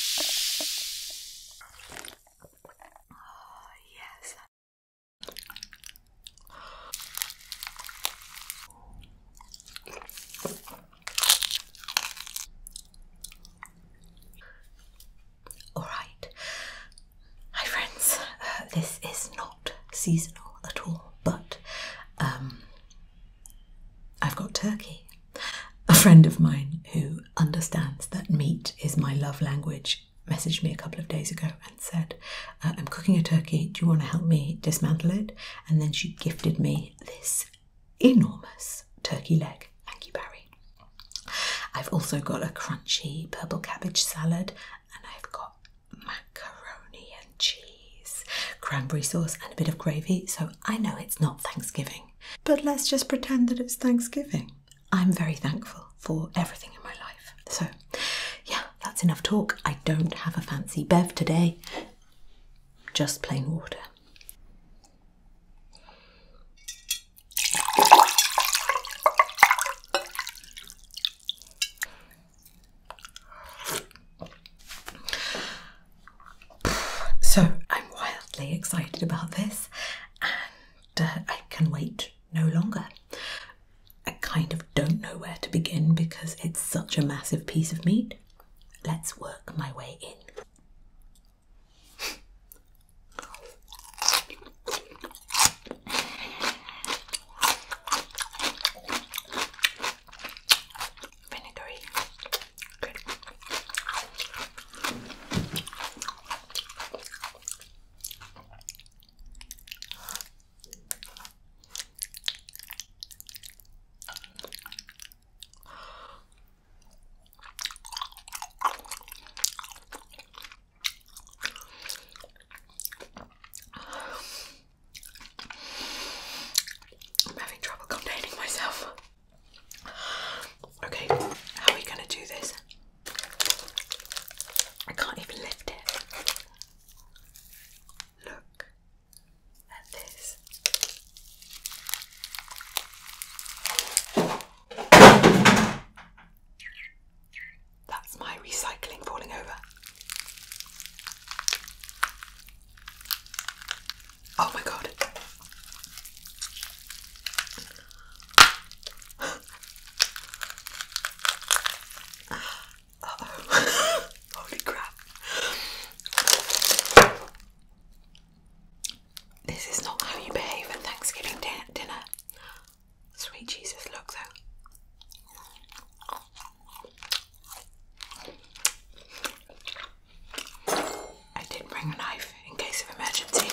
Oh, yes. All right, hi friends. Uh, this is not seasonal at all, but um, I've got turkey a friend of mine who understands that meat is my love language messaged me a couple of days ago and said, uh, I'm cooking a turkey, do you want to help me dismantle it? And then she gifted me this enormous turkey leg. Thank you, Barry. I've also got a crunchy purple cabbage salad, and I've got macaroni and cheese, cranberry sauce, and a bit of gravy. So I know it's not Thanksgiving, but let's just pretend that it's Thanksgiving. I'm very thankful for everything in my life. So, yeah, that's enough talk. I don't have a fancy bev today, just plain water. So I'm wildly excited about this and uh, I can wait no longer. I kind of don't know where to begin because it's such a massive piece of meat. Let's work my way in vinegary. Good. I'm having trouble containing myself. Okay, how are we going to do this? I can't even lift it. Look at this. That's my recycling falling over. Oh my god. Holy crap. This is not how you behave at Thanksgiving dinner. Sweet Jesus, look though. I did bring a knife in case of emergency.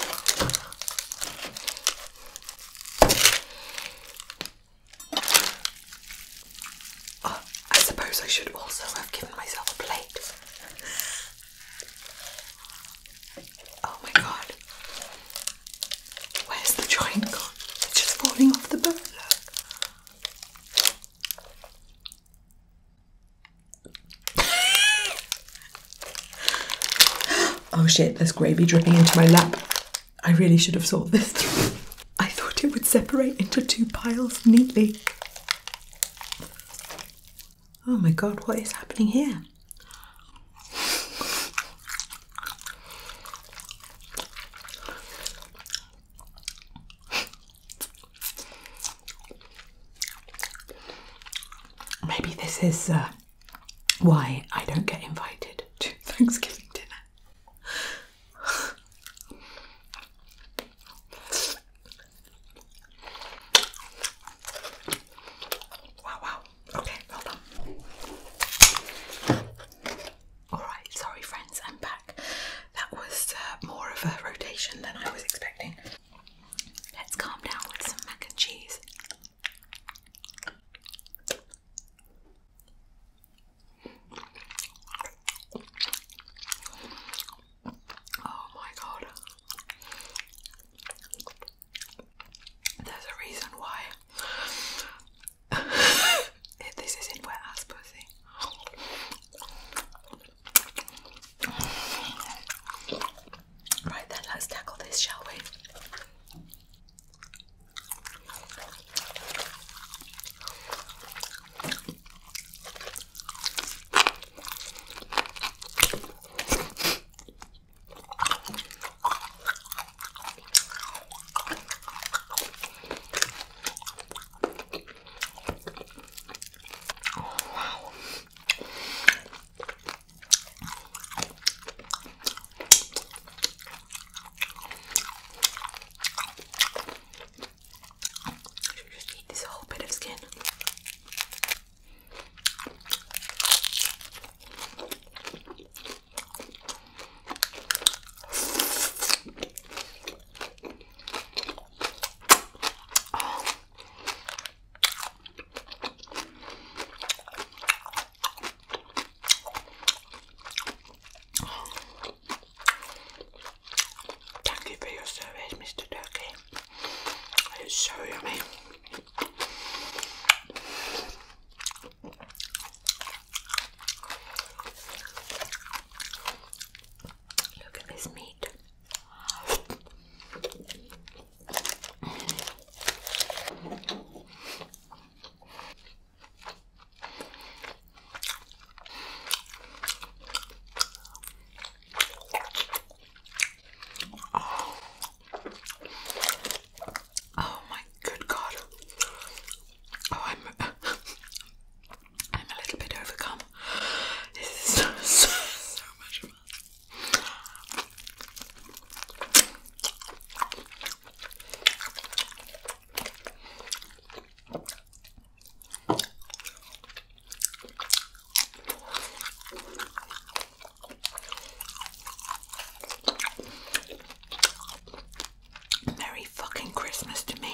Oh, I suppose I should also have given myself a plate. Oh my god. Where's the joint gone? It's just falling off the bone, oh shit, there's gravy dripping into my lap. I really should have thought this I thought it would separate into two piles neatly. Oh my god, what is happening here? Maybe this is uh, why I don't get invited to Thanksgiving dinner. wow, wow. Okay, hold on. Alright, sorry friends, I'm back. That was uh, more of a rotation than I was expecting. Let's calm down with some mac and cheese. Oh my god. There's a reason why this isn't wet ass Right then, let's tackle this, shall we? Oh, wow. Just eat this whole bit of skin. Thank you for your service, Mr. Turkey. It's so yummy. Look at this meat. Oh. my good God. Oh, I'm I'm a little bit overcome. This is so, so, much fun. Merry fucking Christmas to me.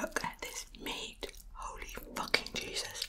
Look at this meat. Holy fucking Jesus.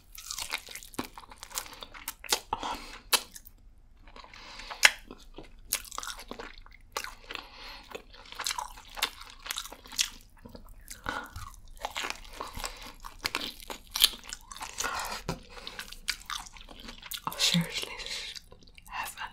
Oh, seriously, heaven.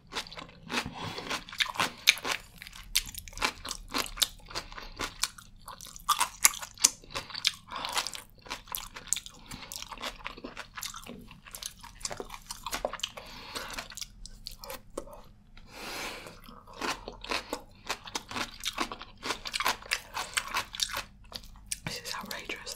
This is outrageous.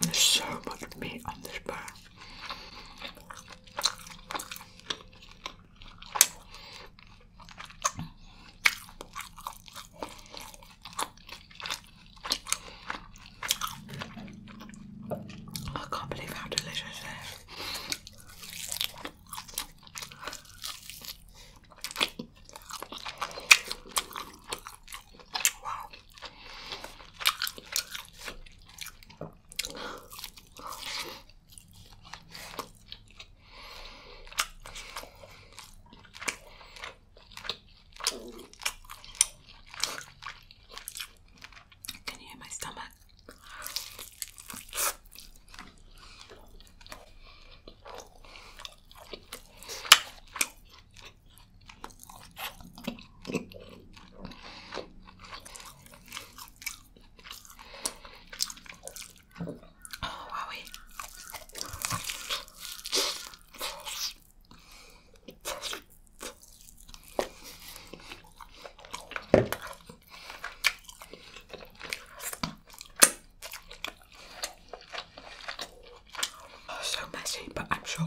There's so much meat on this bone. I can't believe how delicious it is. Wow. Can you hear my stomach? Oh, wowie. Oh, so messy, but I'm sure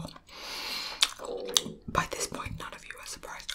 by this point none of you are surprised.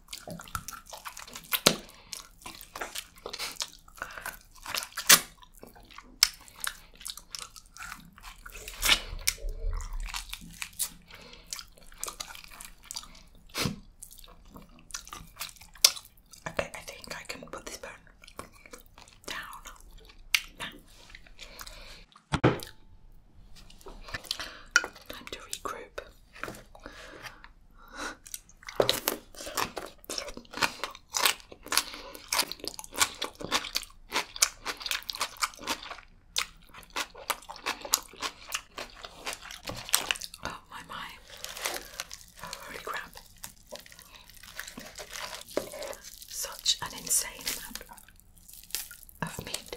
Okay, I think I can put this bone down Time to regroup. Oh my my. Holy crap. Such an insane amount of meat.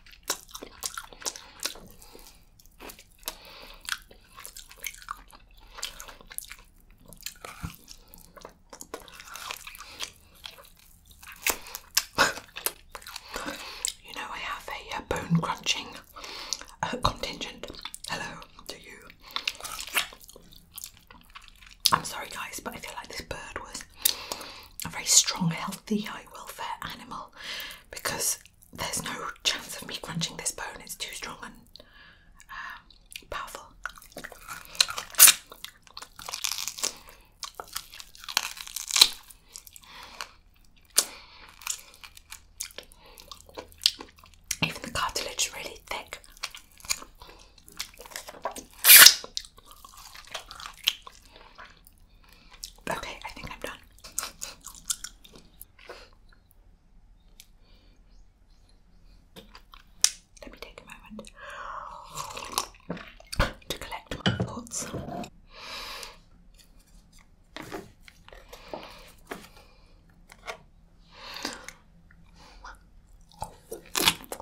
you know, I have a uh, bone crunching uh, contingent. Hello to you. I'm sorry, guys, but I feel like this bird was a very strong, healthy, high welfare animal because there's no chance of me crunching this bone, it's too strong and um, powerful. Even the cartilage is really thick. Okay, I think I'm done. Let me take a moment to collect my thoughts.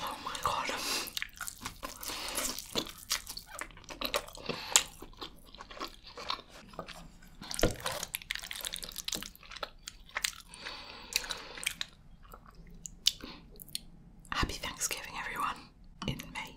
Oh Happy Thanksgiving, everyone, in May.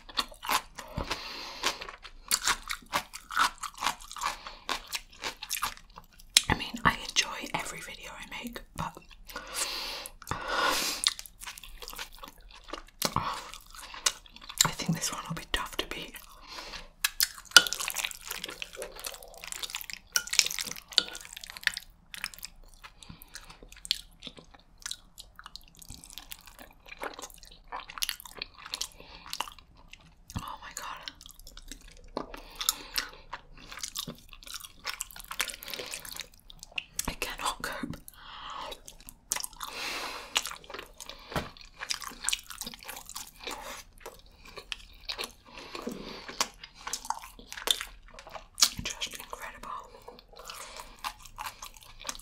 I mean, I enjoy every video I make, but I think this one will be tough to beat. Oh my god. I cannot cope. Just incredible.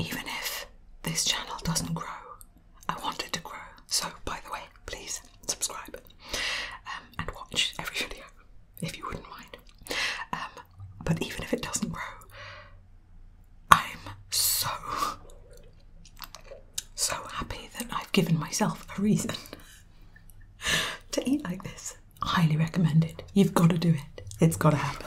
Even if this channel doesn't grow, I wanted to grow. So, by the way, please subscribe um, and watch every video if you wouldn't mind. Um, but even if it doesn't grow, I'm so, so happy that I've given myself a reason to eat like this. Highly recommended. You've got to do it, it's got to happen.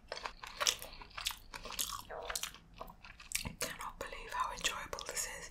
I cannot believe how enjoyable this is.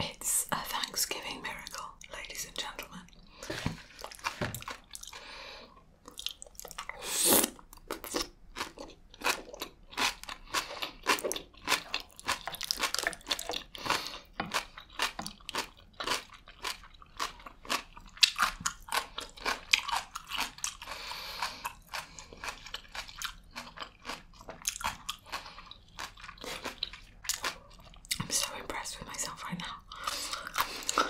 It's a Thanksgiving miracle, ladies and gentlemen. I'm so impressed with myself right now. I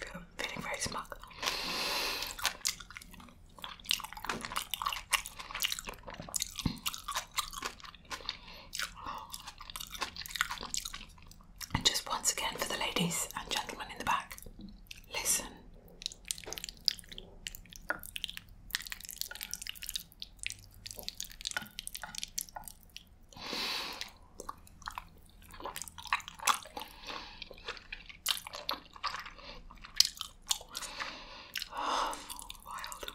feel feeling very smug. And just once again for the ladies and gentlemen in the back, listen.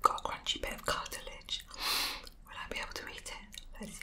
Got a crunchy bit of cartilage. Will I be able to eat it? Let's see.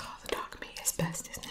Oh, the dark meat is best, isn't it?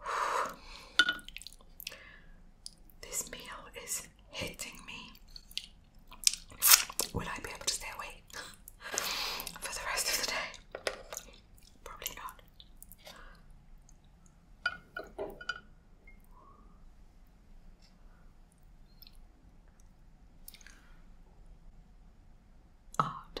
This meal is hitting me. Will I be able to stay awake for the rest of the day? Probably not art.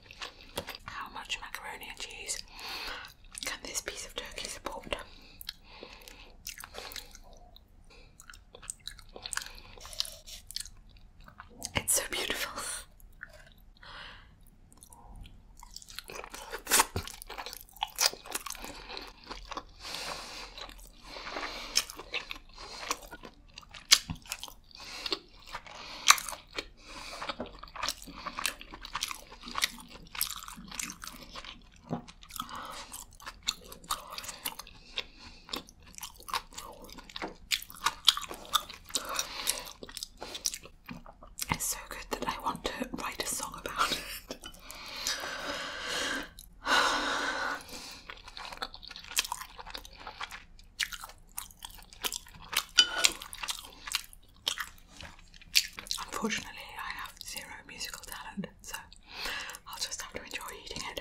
How much macaroni and cheese can this piece of turkey support? It's so beautiful. It's so good that I want to write a song about it. Unfortunately, I have zero musical talent, so I'll just have to enjoy eating it.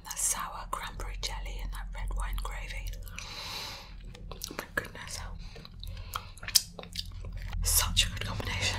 Um, that sour cranberry jelly and that red wine gravy. Oh my goodness. Such a good combination.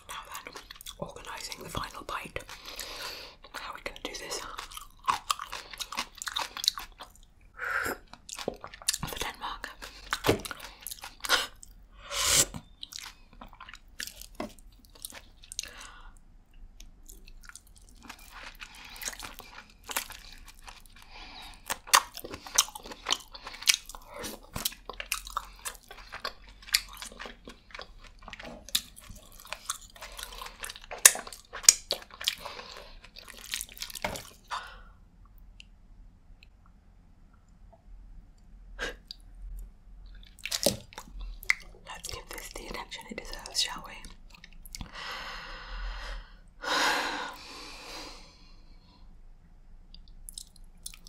Now then, organising the final bite. How are we going to do this? The Denmark. Let's give this the attention it deserves, shall we?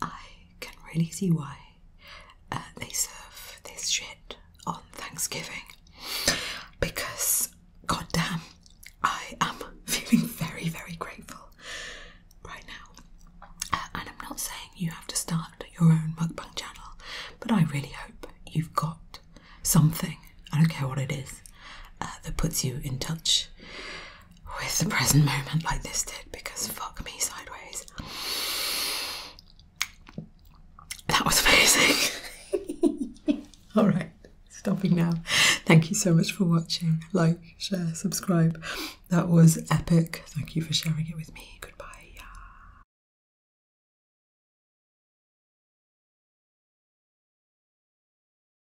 I can really see why uh, they serve this shit on Thanksgiving because, goddamn, I am feeling very, very grateful right now. Uh, and I'm not saying you have to start your own mukbang channel, but I really hope you've got something, I don't care what it is, uh, that puts you in touch with the present moment like this did because fuck me sideways. That was amazing. Alright, stopping now. Thank you so much for watching. Like, share, subscribe. That was epic. Thank you for sharing it with me. Goodbye.